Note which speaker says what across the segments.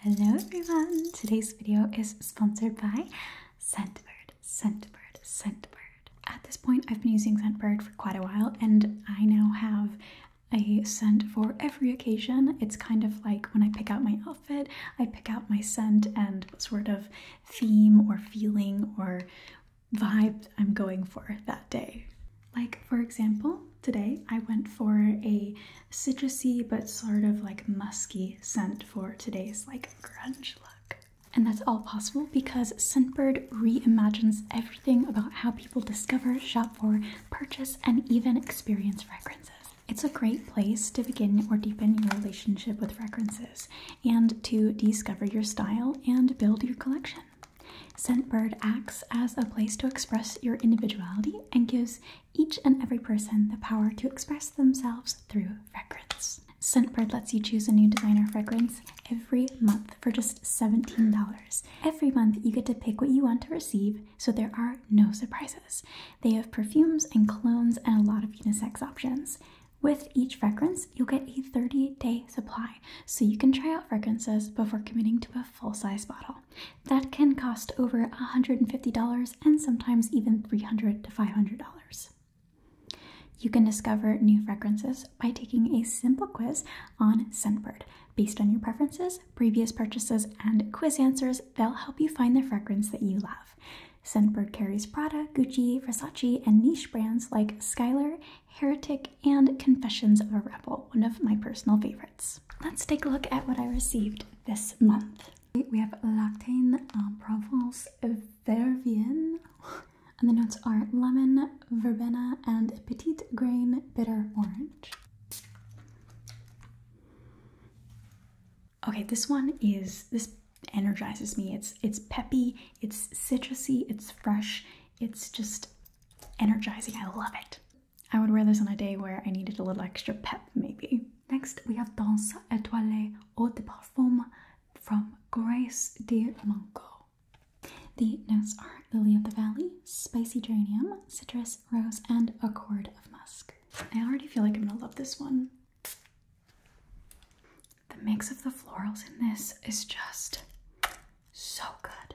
Speaker 1: Hello everyone! Today's video is sponsored by Scentbird, Scentbird, Scentbird. At this point, I've been using Scentbird for quite a while and I now have a scent for every occasion. It's kind of like when I pick out my outfit, I pick out my scent and what sort of theme or feeling or vibe I'm going for that day. Like, for example, today I went for a citrusy but sort of like musky scent for today's like grunge look. And that's all possible because Scentbird reimagines everything about how people discover, shop for, purchase, and even experience fragrances. It's a great place to begin or deepen your relationship with fragrances and to discover your style and build your collection. Scentbird acts as a place to express your individuality and gives each and every person the power to express themselves through fragrance. Scentbird lets you choose a new designer fragrance every month for just $17. Every month, you get to pick what you want to receive, so there are no surprises. They have perfumes and colognes and a lot of unisex options. With each fragrance, you'll get a 30 day supply, so you can try out fragrances before committing to a full size bottle. That can cost over $150 and sometimes even $300 to $500. You can discover new fragrances by taking a simple quiz on Scentbird. Based on your preferences, previous purchases, and quiz answers, they'll help you find the fragrance that you love. Scentbird carries Prada, Gucci, Versace, and niche brands like Skylar, Heretic, and Confessions of a Rebel, one of my personal favorites. Let's take a look at what I received this month. We have Lactane, uh, Provence, Vervian, and the notes are lemon, verbena, and petit grain bitter orange. Okay, this one is this energizes me. It's it's peppy, it's citrusy, it's fresh, it's just energizing. I love it. I would wear this on a day where I needed a little extra pep, maybe. Next, we have Danse Étoilée Eau de Parfum from Grace de Manco. The notes are Lily of the Valley, Spicy Geranium, Citrus, Rose, and Accord of musk. I already feel like I'm gonna love this one. The mix of the florals in this is just so good.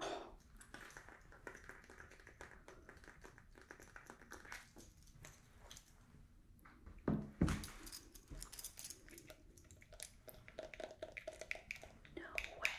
Speaker 1: Oh. No way.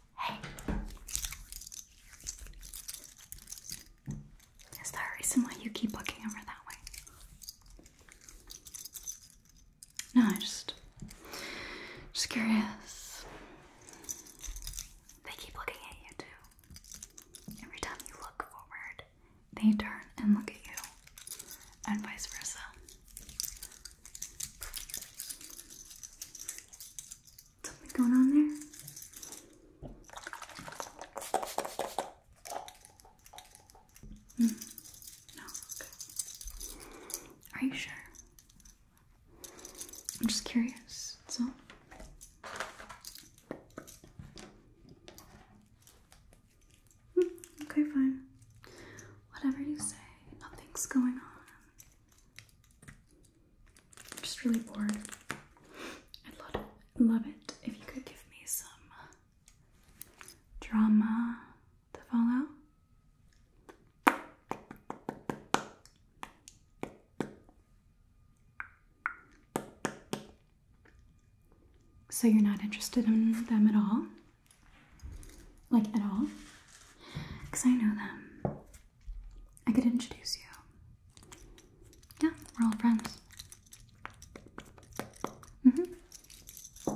Speaker 1: Hey. Is there a reason why you keep looking over that way? No, I just just curious. They keep looking at you too. Every time you look forward, they turn and look at you. And vice versa. Something going on there? Hmm, no, Are you sure? I'm just curious. It's all hmm, okay, fine. Whatever you say, nothing's going on. I'm just really bored. I'd love it, love it if you could give me some uh, drama to follow. So you're not interested in them at all? Like, at all? Because I know them. I could introduce you. Yeah, we're all friends. Mm-hmm.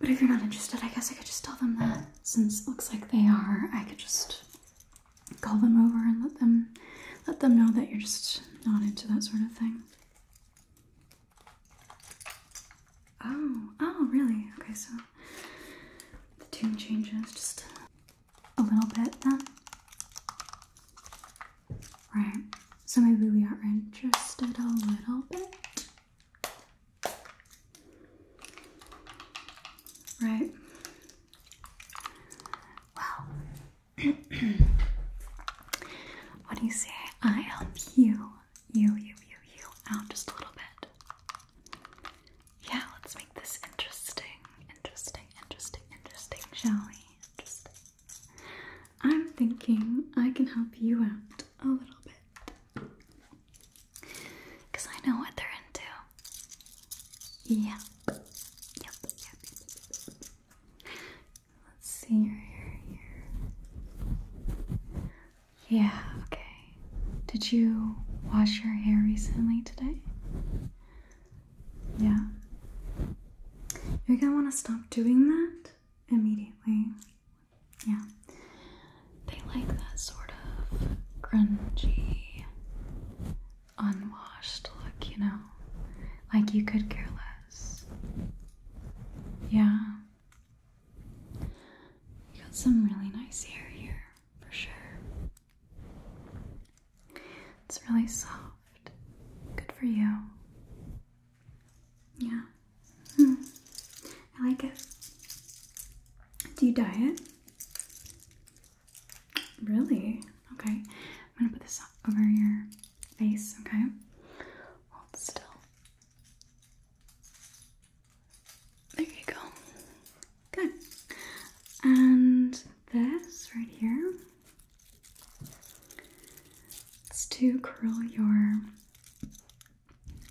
Speaker 1: But if you're not interested, I guess I could just tell them that since looks like they are, I could just call them over and let them let them know that you're just not into that sort of thing. Oh, oh, really? Okay, so the tune changes just a little bit then. Right, so maybe we are interested a little bit. Right. Well, what do you say? I help you, you, you, you, you out just a little bit. Yeah, let's make this interesting, interesting, interesting, interesting, shall we? Interesting. I'm thinking I can help you out a little bit. Because I know what they're into. Yeah, Yep. Yep. yep. Let's see your hair here. Yeah, okay. Did you wash your hair recently today? Yeah. You're gonna wanna stop doing that immediately. Yeah. They like that sort of grungy, unwashed look, you know? Like you could care less. Yeah. You got some really nice hair here for sure. It's really soft. Good for you. Yeah. Hmm. I like it. Do you diet? Really? Okay. I'm gonna put this over your face, okay? Hold still. There you go. Good. And this right here, it's to curl your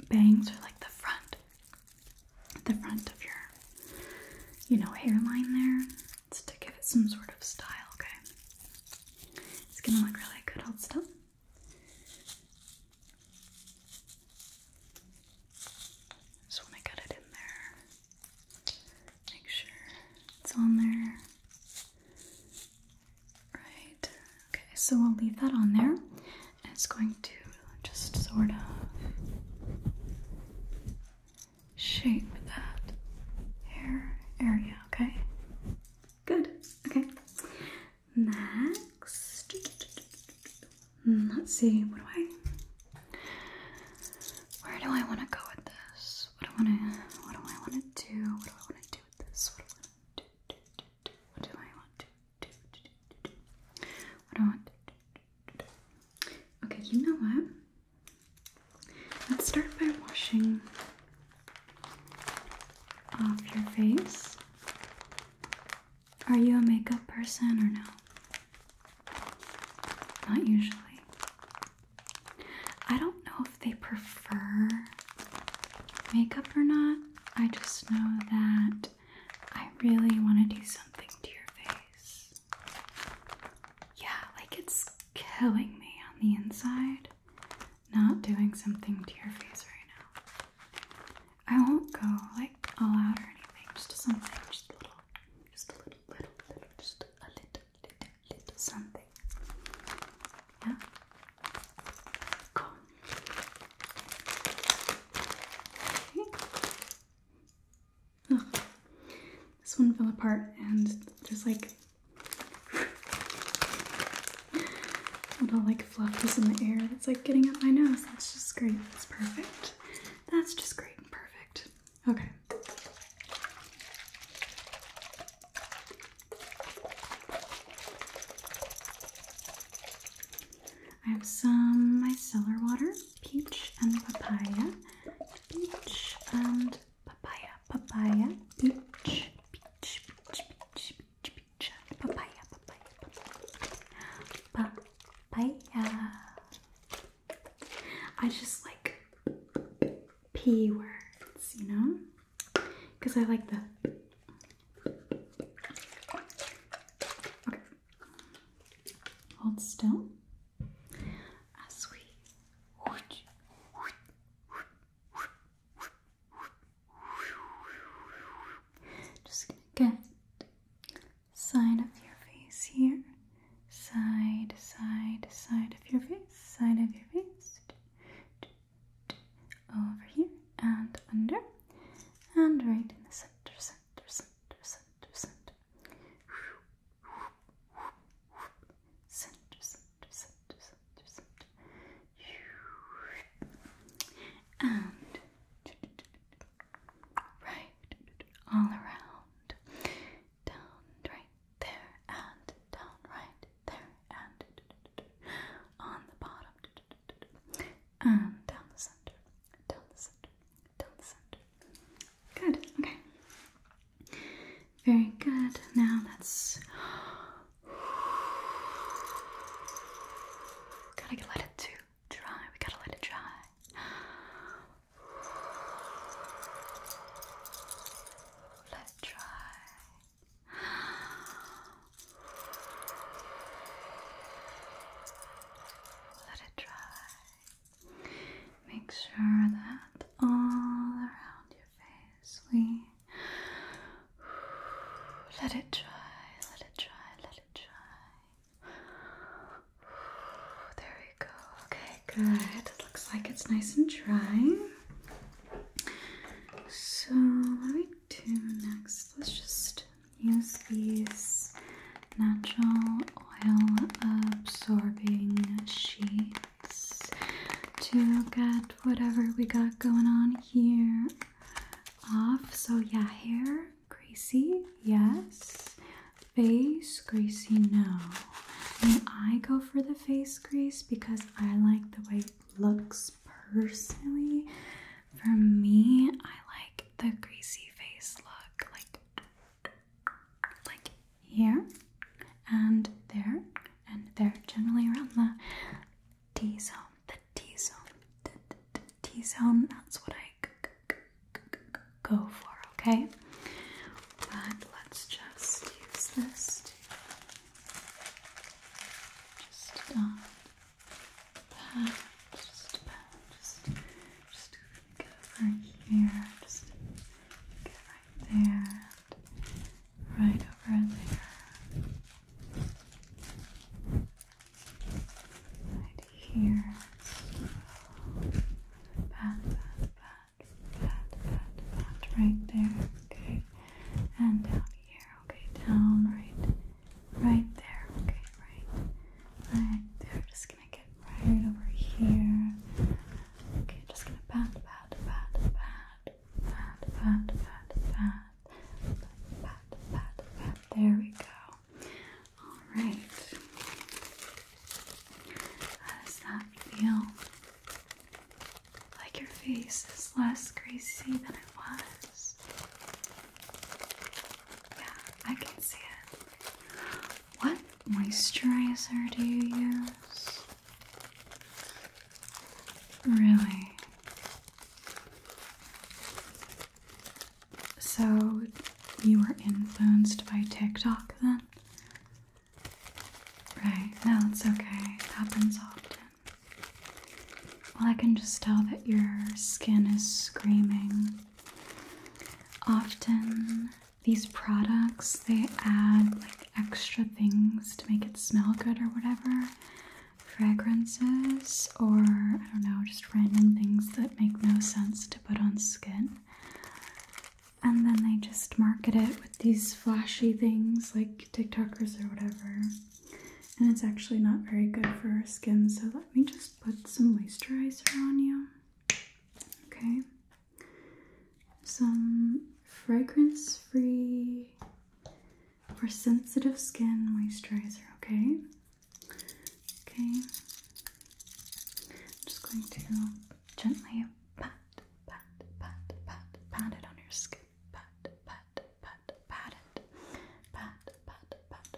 Speaker 1: bangs or like the front, the front of your, you know, hairline there. It's to give it some sort of style, okay? It's gonna look really good, hold still. Just want to get it in there. Make sure it's on there. Right. Okay, so we'll leave that on there. And it's going to just sort of shape that hair area, okay? Good. Okay. Next, let's see. What do I? Where do I want to go with this? What do I want to? What do I want to do? What do I want to do with this? What do I want to do? What do I want to do? Okay, you know what? Let's start by washing off your face. Are you a makeup person or no? Not usually. I don't know if they prefer makeup or not. I just know that I really want to do something to your face. Yeah, like it's killing me on the inside not doing something to your face right now. I won't go like all out or anything. Just something, just a little, just a little, little, little, just a little, little, little something. Yeah. Cool. Okay. This one fell apart, and there's like little like fluff is in the air It's like getting up my nose. That's just great. That's perfect. That's just great and perfect. Okay. I have some micellar water, peach and papaya, peach and papaya, papaya, peach, peach, Papaya, papaya, papaya. Papaya. I just like P words, you know? Because I like the. Okay. Hold still as we. Just gonna get side of your face here. Side, side, side of your face, side of your face. Over here and under. And right in the center, center, center, center, center. Center, center, center, center, center and right all around, down right there, and down right there, and on the bottom, and down the center, down the center, down the center. Good, okay. Very good. Now that's. Gotta let it too dry. We gotta let it dry. Let dry. Let it dry. Make sure that all around your face we Let it dry, let it dry, let it dry. There we go. Okay, good. It looks like it's nice and dry. So, what do we do next? Let's just use these natural oil absorbing sheets to get whatever we got going on here off. So, yeah, hair greasy, yes. Face greasy, no. And I go for the face grease because I like the way it looks personally. For me, I like the greasy face look, like like here and there and there, generally around the T zone the T zone. The, T zone, that's what I go for, okay? But let's just use this just um, pat, just pat, just, just get over here, just get right there, right over there right here. there. Okay, and down here. Okay, down, right, right there. Okay, right, right there. Just gonna get right over here. Okay, just gonna pat, pat, pat, pat, pat, pat, pat, pat. There we go. All right. does that feel? Like your face is less greasy than it was. Yeah, I can see it. What moisturizer do you use? Really? So, you were influenced by TikTok then? Right, no, it's okay. It happens often. Well, I can just tell that your skin is screaming. Often, these products they add like extra things to make it smell good or whatever fragrances or I don't know, just random things that make no sense to put on skin. And then they just market it with these flashy things like TikTokers or whatever. And it's actually not very good for our skin, so let me just put some moisturizer on you. Okay. Some fragrance free for sensitive skin moisturizer, okay? Okay. I'm just going to gently pat, pat, pat, pat, pat it on your skin. Pat, pat, pat, pat it. Pat, pat, pat.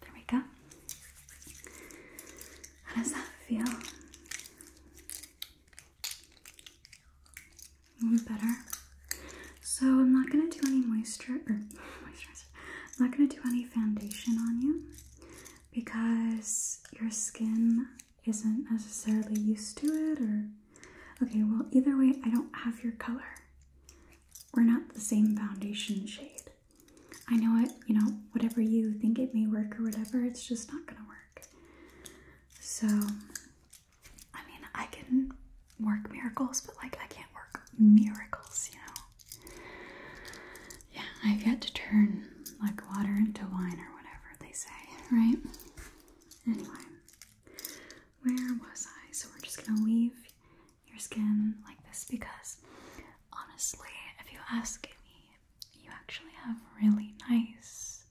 Speaker 1: There we go. How does that feel? Even better. So I'm not gonna do any moisture moisturizer. I'm not gonna do any foundation on you because your skin isn't necessarily used to it or okay well either way I don't have your color. We're not the same foundation shade. I know it, you know, whatever you think it may work or whatever, it's just not gonna work. So, I mean, I can work miracles, but like, I can't work miracles, you know? Yeah, I've yet to turn like water into wine or whatever they say, right? Anyway, where was I? So, we're just gonna leave your skin like this because honestly, if you ask me, you actually have really nice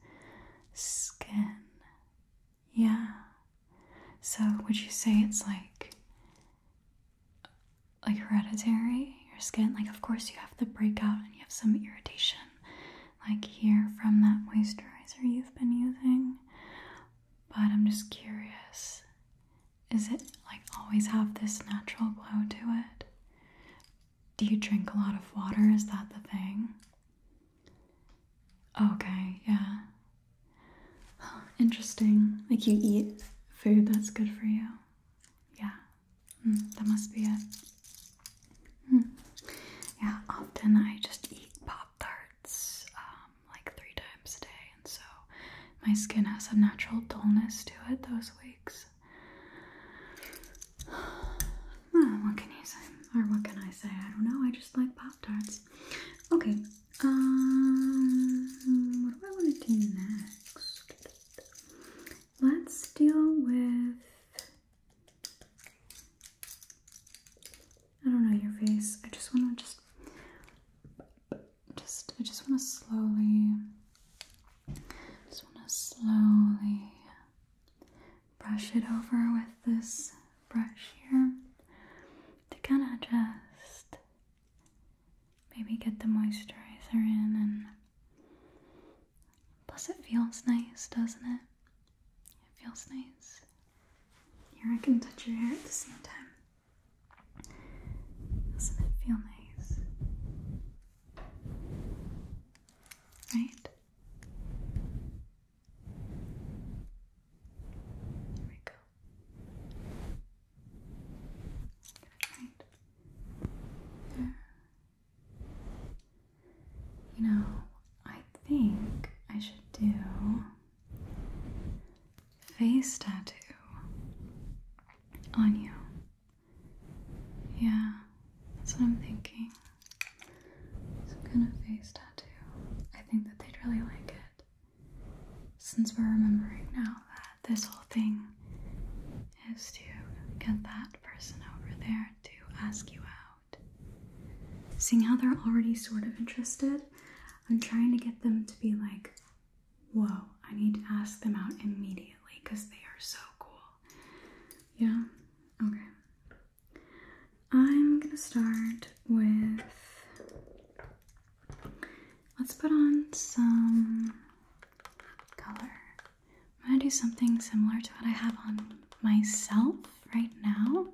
Speaker 1: skin. Yeah. So would you say it's like like hereditary? Your skin, like of course you have the breakout and you have some irritation like here from that moisturizer you've been using. But I'm just curious is it like always have this natural glow to it? Do you drink a lot of water? Is that the thing? Okay, yeah. interesting. Like you eat food that's good for you. Yeah, hmm, that must be it. Hmm. Yeah, often I just eat Pop Tarts um, like three times a day so my skin has a natural dullness to it those weeks. Ah, what can you say? Or what can I say? I don't know. I just like Pop Tarts. Okay. Um, what do I want to do next? Let's deal with. I don't know your face. I just want to just just I just want to slowly just want to slowly brush it over with this brush here to kind of just maybe get the moisturizer in and plus it feels nice doesn't it it feels nice here I can touch your hair at the same time doesn't it feel nice? Right? There we go. You know, I think I should do face tattoo on you. Yeah, that's what I'm thinking. Some kind of face tattoo. I think that they'd really like it. Since we're remembering now that this whole thing is to get that person over there to ask you out. Seeing how they're already sort of interested, I'm trying to get them to be like Whoa, I need to ask them out immediately because they are so cool. Yeah? Okay. I'm gonna start with. Let's put on some color. I'm gonna do something similar to what I have on myself right now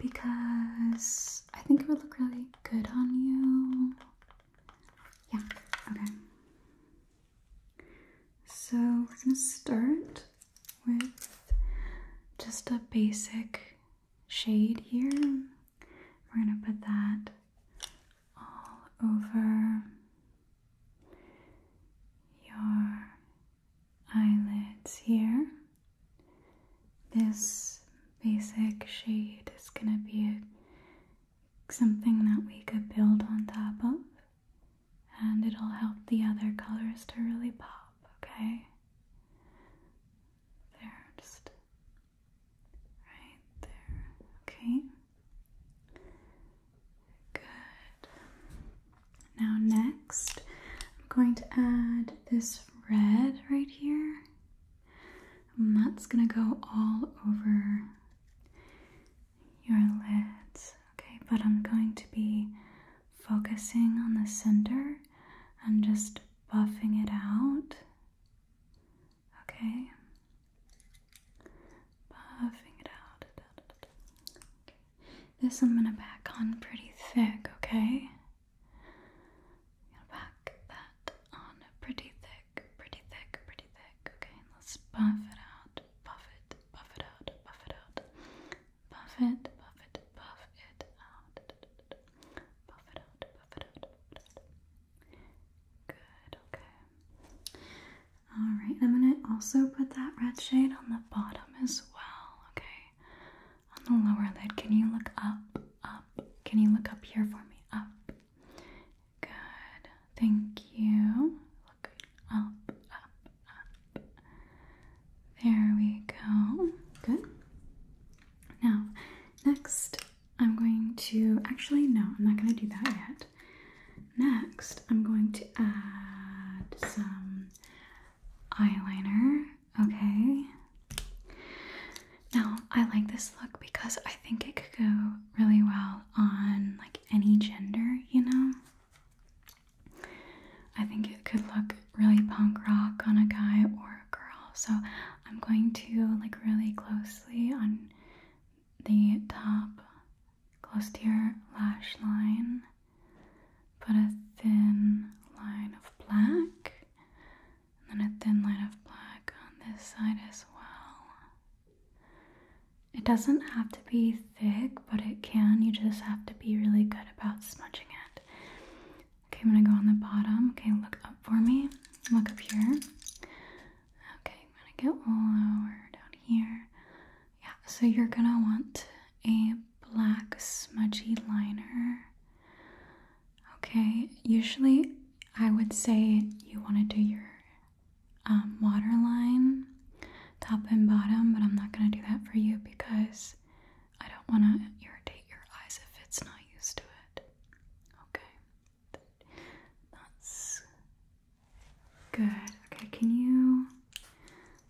Speaker 1: because I think it would look really good on you. Yeah, okay. So we're gonna start with just a basic shade here. We're gonna put that all over your eyelids here this basic shade is going to be something that we could build on top of and it'll help the other colors to really pop, okay? There, just right there, okay? Good. Now, next, I'm going to add this red right here that's gonna go all over your lids, okay? But I'm going to be focusing on the center and just buffing it out, okay? Buffing it out. This I'm gonna back on pretty thick, okay? I'm gonna pack that on pretty thick, pretty thick, pretty thick. Okay, and let's buff it out, buff it, buff it out, buff it out, buff it, buff it, buff it out, buff it out, buff it out, buff it out. Good. Okay. All right. I'm gonna also put that red shade on the bottom as well. Okay on the lower lid. Can you look up? Up. Can you look up here for me? Up. Good. Thank you. Look up, up, up. There we go. Good. Now, next, I'm going to actually, no, I'm not going to do that yet. Next, I'm going to add some eyeliner okay? Now, I like this look because I think it could go really well on like any gender, you know? I think it could look really punk rock on a guy or a girl. So, I'm going to like really closely on the top close to your lash line. Put a thin line of black and then a thin line of black on this side as well. It doesn't have to be thick, but it can. You just have to be really good about smudging it. Okay, I'm gonna go on the bottom. Okay, look up for me. Look up here. Okay, I'm gonna get lower down here. Yeah, so you're gonna want a black smudgy liner. Okay, usually I would say you want to do your um, waterline top and bottom, but I'm not going to do that for you because I don't want to irritate your eyes if it's not used to it. Okay, that's good. Okay, can you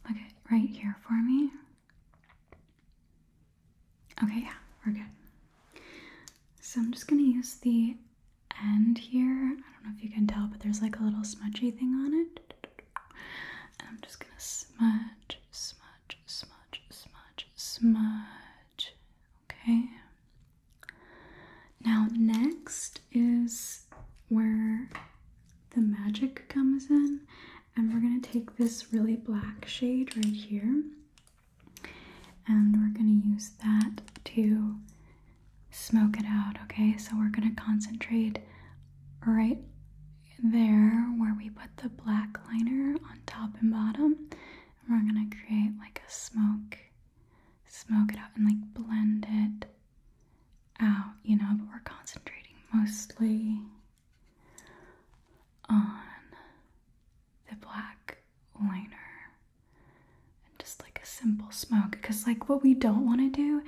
Speaker 1: look at right here for me? Okay, yeah, we're good. So I'm just gonna use the end here. I don't know if you can tell, but there's like a little smudgy thing on it. I'm just gonna smudge, smudge, smudge, smudge, smudge. Okay. Now, next is where the magic comes in, and we're gonna take this really black shade right here and we're going to use that to smoke it out, okay? So we're going to concentrate right there where we put the black liner on top and bottom. And we're going to create like a smoke, smoke it out and like blend it out, you know, but we're concentrating mostly on the black liner just like a simple smoke because like what we don't want to do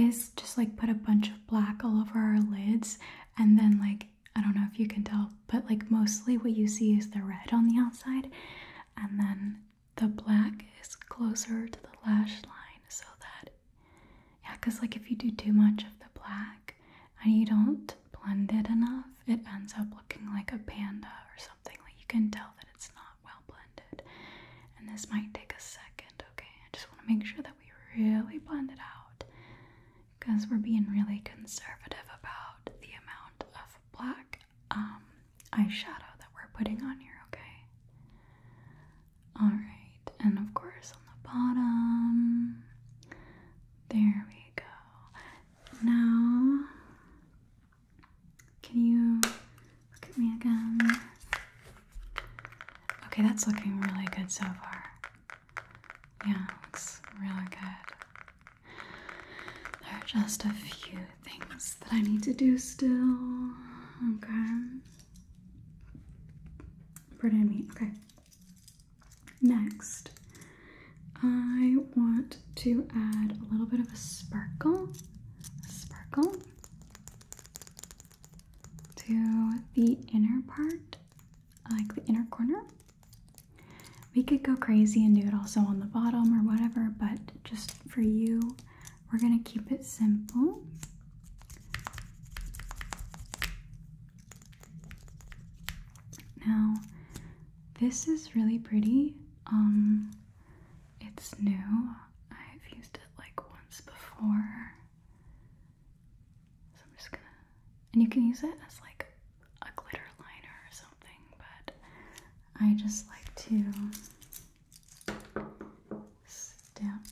Speaker 1: is just like put a bunch of black all over our lids and then like I don't know if you can tell but like mostly what you see is the red on the outside and then the black is closer to the lash line so that yeah because like if you do too much of the black and you don't blend it enough, it ends up looking like a panda or something. Like you can tell that it's not well blended. And this might take a second, okay? I just want to make sure that we really blend it out because we're being really conservative about the amount of black um, eyeshadow that we're putting on here, okay? Alright, and of course on the bottom, there we go. Now, can you look at me again? Okay, that's looking really good so far. Yeah, looks really good. There are just a few things that I need to do still. Okay. Pardon me. Okay. Next, I want to add a little bit of a sparkle, sparkle to the inner part, like the inner corner. We could go crazy and do it also on the bottom or whatever, but just for you, we're gonna keep it simple. Now, this is really pretty. Um, it's new. I've used it like once before. So I'm just gonna, and you can use it as like a glitter liner or something, but I just like to stamp,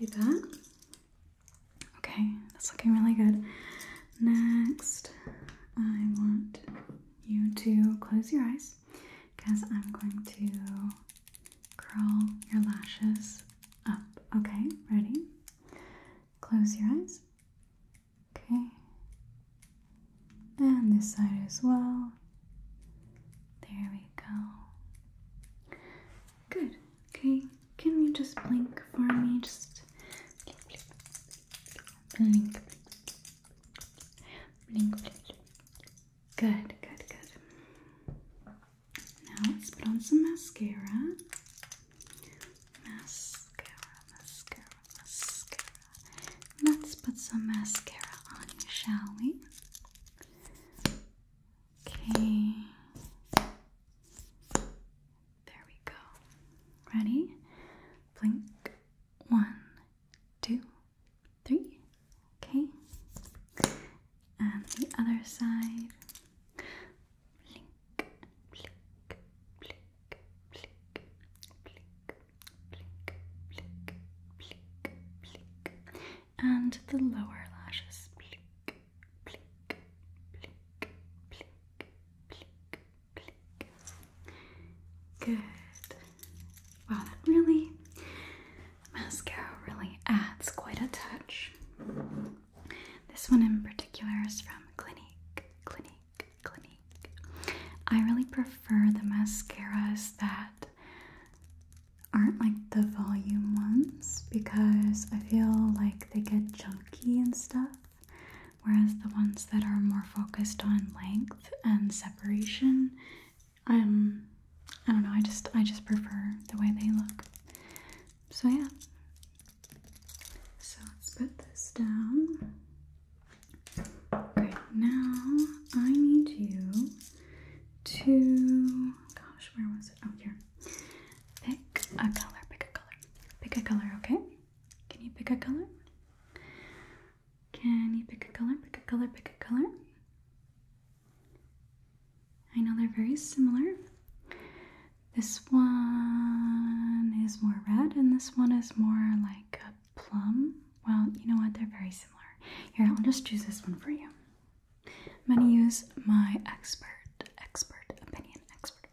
Speaker 1: do that. Okay, that's looking really good. Next, I want you to close your eyes because I'm going to curl your lashes up. Okay, ready? Close your eyes. Okay, and this side as well. There we go. Good. Okay, can you just blink for me? Just blink, blink, blink, blink, blink. blink. Good, good, good. Now let's put on some mascara. Mascara, mascara, mascara. Let's put some mascara on, shall we? Okay. There we go. Ready? Blink. One, two, three. Okay. And the other side. Blink, blink, blink, blink, blink, and the lower lashes. blink, blink, blink. Good. Wow, that really mascara really adds quite a touch. This one in particular is from Clinique, Clinique, Clinique. I really prefer the mascaras that aren't like the volume ones because I feel like they get chunky and stuff, whereas the ones that are more focused on length and separation, um, I don't know. I just I just prefer the way they look. So yeah. So let's put this down. Okay, now I need you to, gosh, where was it? Oh, here. Pick a color, pick a color, pick a color, okay? Can you pick a color? Can you pick a color, pick a color, pick a color? I know they're very similar. This one is more red, and this one is more like a plum. Well, you know what? They're very similar. Here, I'll just choose this one for you. I'm going to use my expert, expert opinion, expert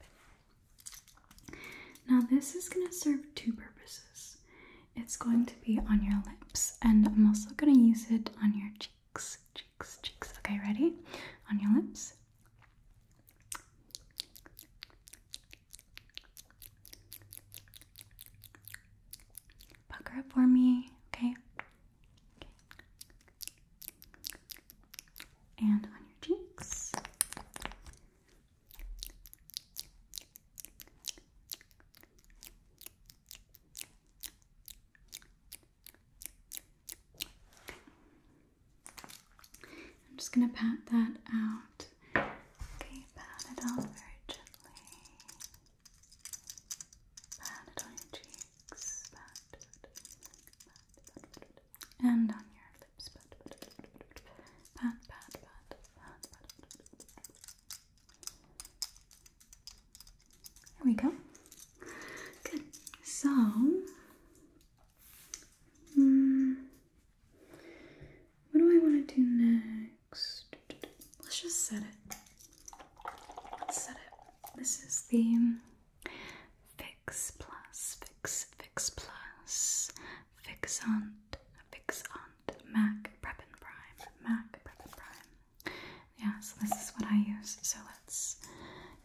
Speaker 1: opinion. Now, this is going to serve two purposes. It's going to be on your lips, and I'm also going to use it on your cheeks, cheeks, cheeks. Okay, ready? On your lips. Pucker up for me, okay? And on your cheeks. I'm just going to pat that out. Okay, pat it on very gently. Pat it on your cheeks. Pat, And on your lips. Pat, pat, pat, There we go. Good. So, mm, what do I want to do next? Let's just set it. set it. This is the Fix Plus, Fix, Fix Plus, Fixant, Fixant, MAC Prep and Prime, MAC Prep and Prime. Yeah, so this is what I use. So let's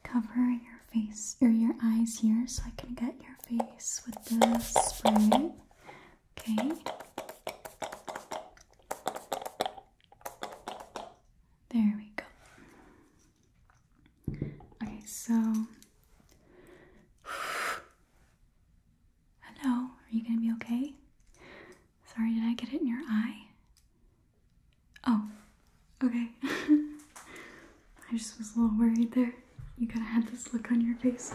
Speaker 1: cover your face or your eyes here so I can get your face with the spray. Okay. There we go. Okay, so. Hello, are you gonna be okay? Sorry, did I get it in your eye? Oh, okay. I just was a little worried there. You kind of had this look on your face.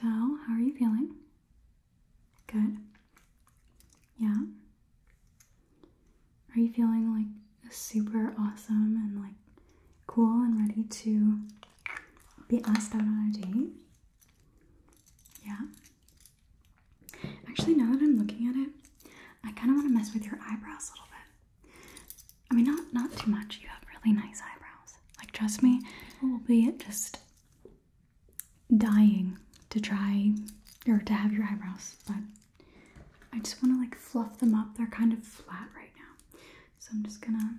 Speaker 1: So, how are you feeling? Good. Yeah. Are you feeling like super awesome and like cool and ready to be asked out on a date? Yeah. Actually, now that I'm looking at it, I kind of want to mess with your eyebrows a little bit. I mean, not not too much. You have really nice eyebrows. Like, trust me, people will be just dying to try or to have your eyebrows. But I just want to like fluff them up. They're kind of flat right now, so I'm just gonna.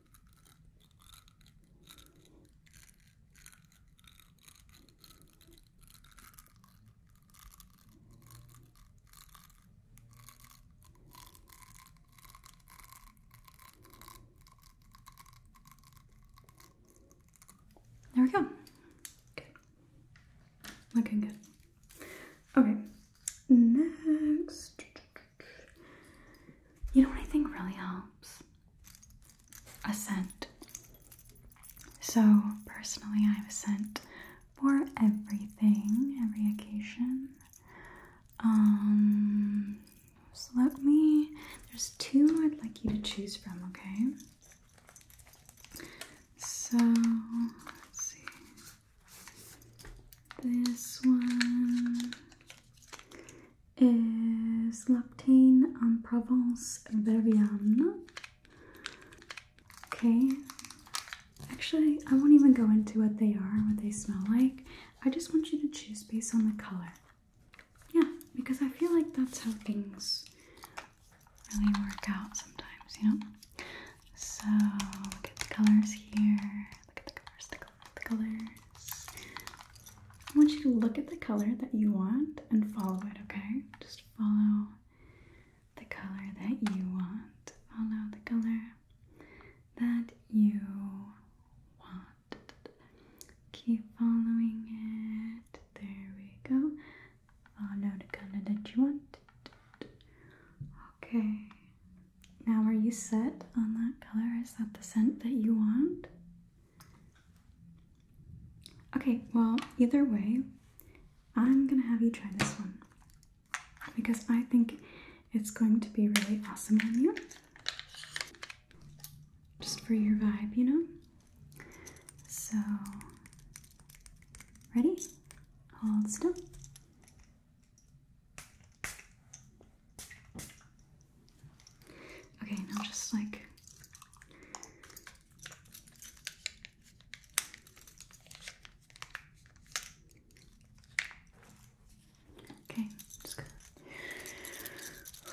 Speaker 1: There we go. Okay. Looking good. Okay. Next. You know what I think really helps? A scent. So, personally, I have sent for everything, every occasion. Um, so let me, there's two I'd like you to choose from, okay? So, let's see. This one is Lactane and Provence Verviane. Okay, actually, I won't even go into what they are, what they smell like. I just want you to choose based on the color. Yeah, because I feel like that's how things really work out sometimes, you know? So, look at the colors here look at the colors, the, colors. I want you to look at the color that you want and follow it, okay? Just follow the color that you want. Follow the color that you want. Keep following it. There we go. Follow the color that you want. Okay. Now, are you set on that color? Is that the scent that you want? Okay, well, either way, I'm gonna have you try this one because I think it's going to be really awesome on you. Just for your vibe, you know? So, ready? Hold still. Okay, now just like Okay, just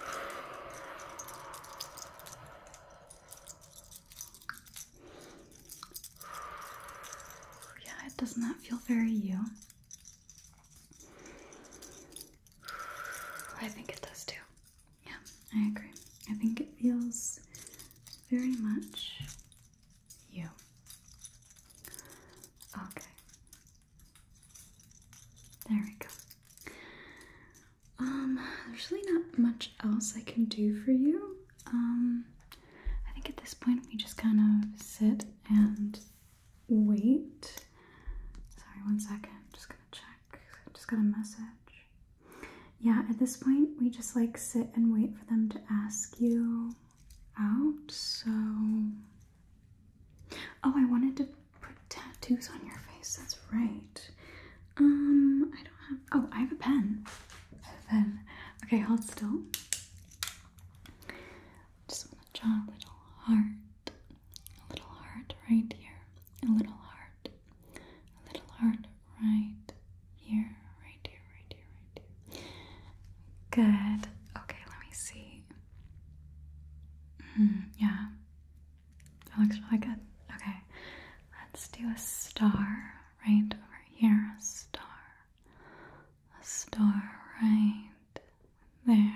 Speaker 1: Yeah, it does not feel very you. I think it does too. Yeah, I agree. I think it feels very much you. Okay. There we go. Um, there's really not much else I can do for you. Um, I think at this point we just kind of sit and wait. Sorry, one just gonna check. just got a message. Yeah, at this point, we just like sit and wait for them to ask you out. So, oh, I wanted to put tattoos on your face. That's right. Um, I don't have. Oh, I have a pen. I have a pen. Okay, hold still. Just want to draw a little heart, a little heart right here, a little heart, a little heart right here, right here, right here, right here. Good. Okay, let me see. Hmm, yeah, that looks really good. Okay, let's do a star right over here. A star, a star right there.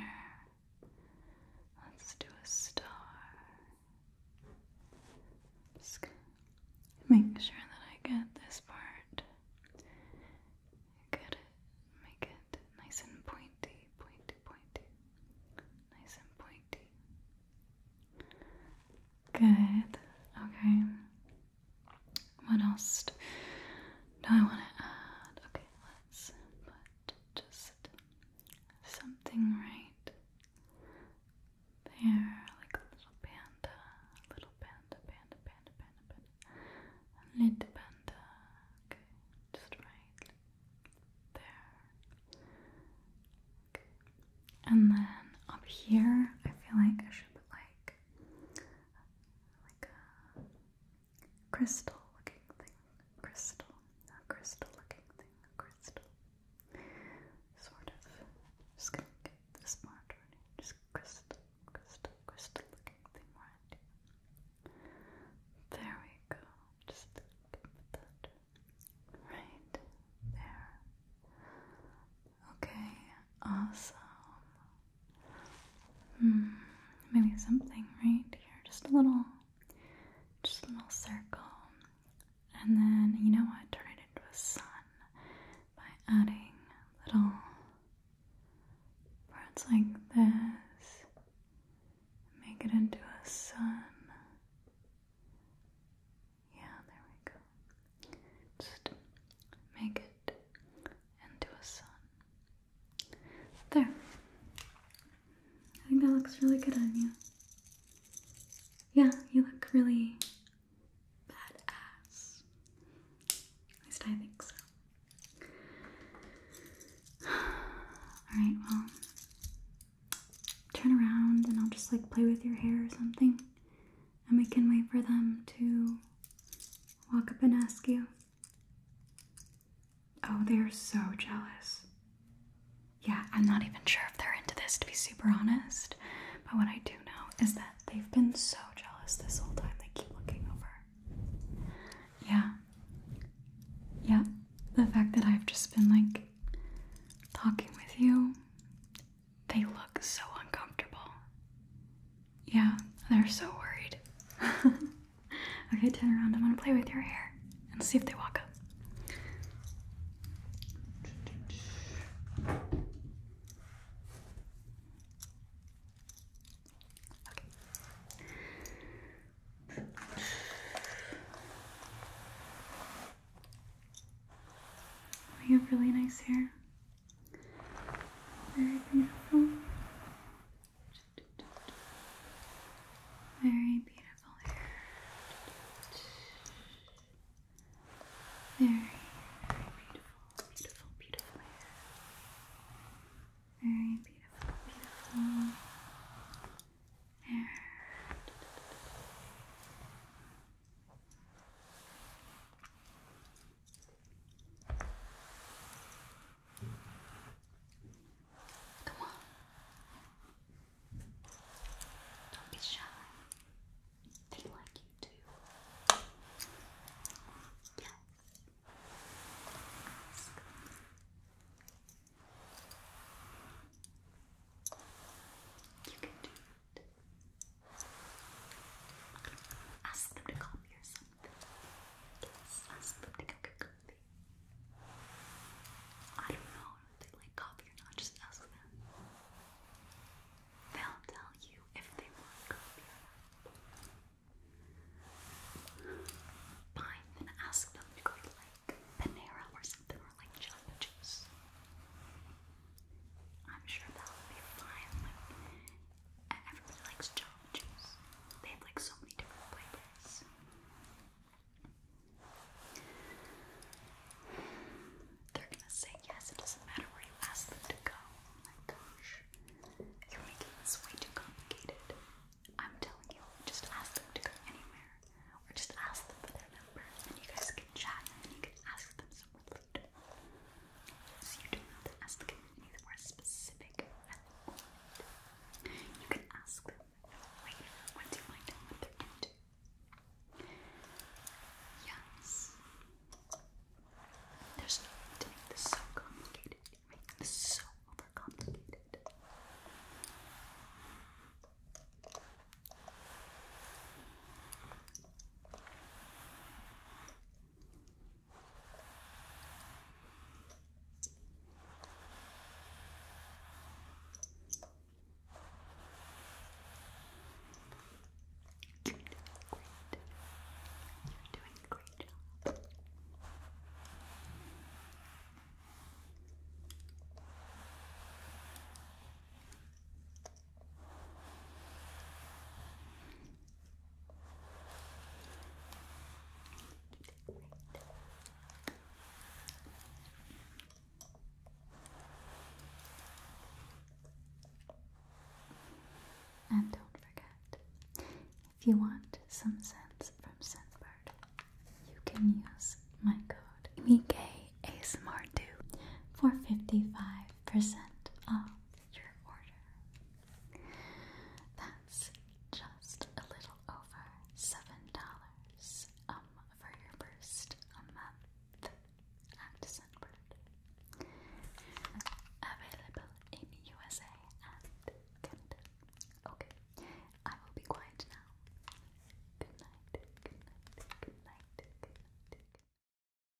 Speaker 1: Let's do a star. make sure that I get this part. Get Make it nice and pointy, pointy, pointy. Nice and pointy. Good. Okay. What else do I want to add? Okay, let's put just something right there, like a little panda, a little panda, panda, panda, panda, panda, little panda. Okay, just right there. and then up here, I feel like I should put like like a crystal looking thing. Crystal. A crystal looking thing. crystal. Sort of. Just gonna get this marked right Just crystal, crystal, crystal looking thing right There we go. Just put that right there. Okay, awesome. Hmm, maybe something right here. Just a little, just a little circle. And then, you know what? Turn it into a sun by adding little parts like this. Make it into a sun. Yeah, there we go. Just make it and to a sun. There. I think that looks really good on you. Yeah, you look really badass. At least I think so. Alright, well, turn around and I'll just like play with your hair or something and we can wait for them to walk up and ask you. Oh, they're so jealous. Yeah, I'm not even sure if they're into this, to be super honest. But what I do know is that they've been so jealous this whole time, they keep looking over. Yeah. Yeah, the fact that I've just been like talking with you, they look so uncomfortable. Yeah, they're so worried. okay, turn around. i want to play with your hair and see if they walk up. You have really nice hair. Very beautiful. Very beautiful hair. Very, beautiful, beautiful, beautiful hair. Very beautiful, beautiful hair. Come on. Don't be shy. They like you too. Yes. You can do it. Ask them to copy or something. Yes, ask them to go get coffee. I don't know if they like coffee or not, just ask them. They'll tell you if they want coffee Fine, then ask them to go to like Panera or something, or like Jamba Juice. I'm sure that'll be fine and everybody likes challenges. They have like so many different playlists. They're gonna say yes, it doesn't matter where you ask them to go. Oh my gosh. You're making this way too complicated. I'm telling you, just ask them to go anywhere. Or just ask them for their number. And you guys can chat and you can ask them some so you don't ask the company for specific element. You can ask them later once you find out what they're into. Yes. There's no need to make this so complicated. You're so overcomplicated. You're doing great. You're doing a great job. Good. And don't forget, if you want some scents from Scentbird, you can use my code mikasmr for 55% off your order. That's just a little over seven dollars um for your first month at Sunbird. Available in USA and Canada. Okay, I will be quiet now. Good night. Good night. Good night. Good night. Good night.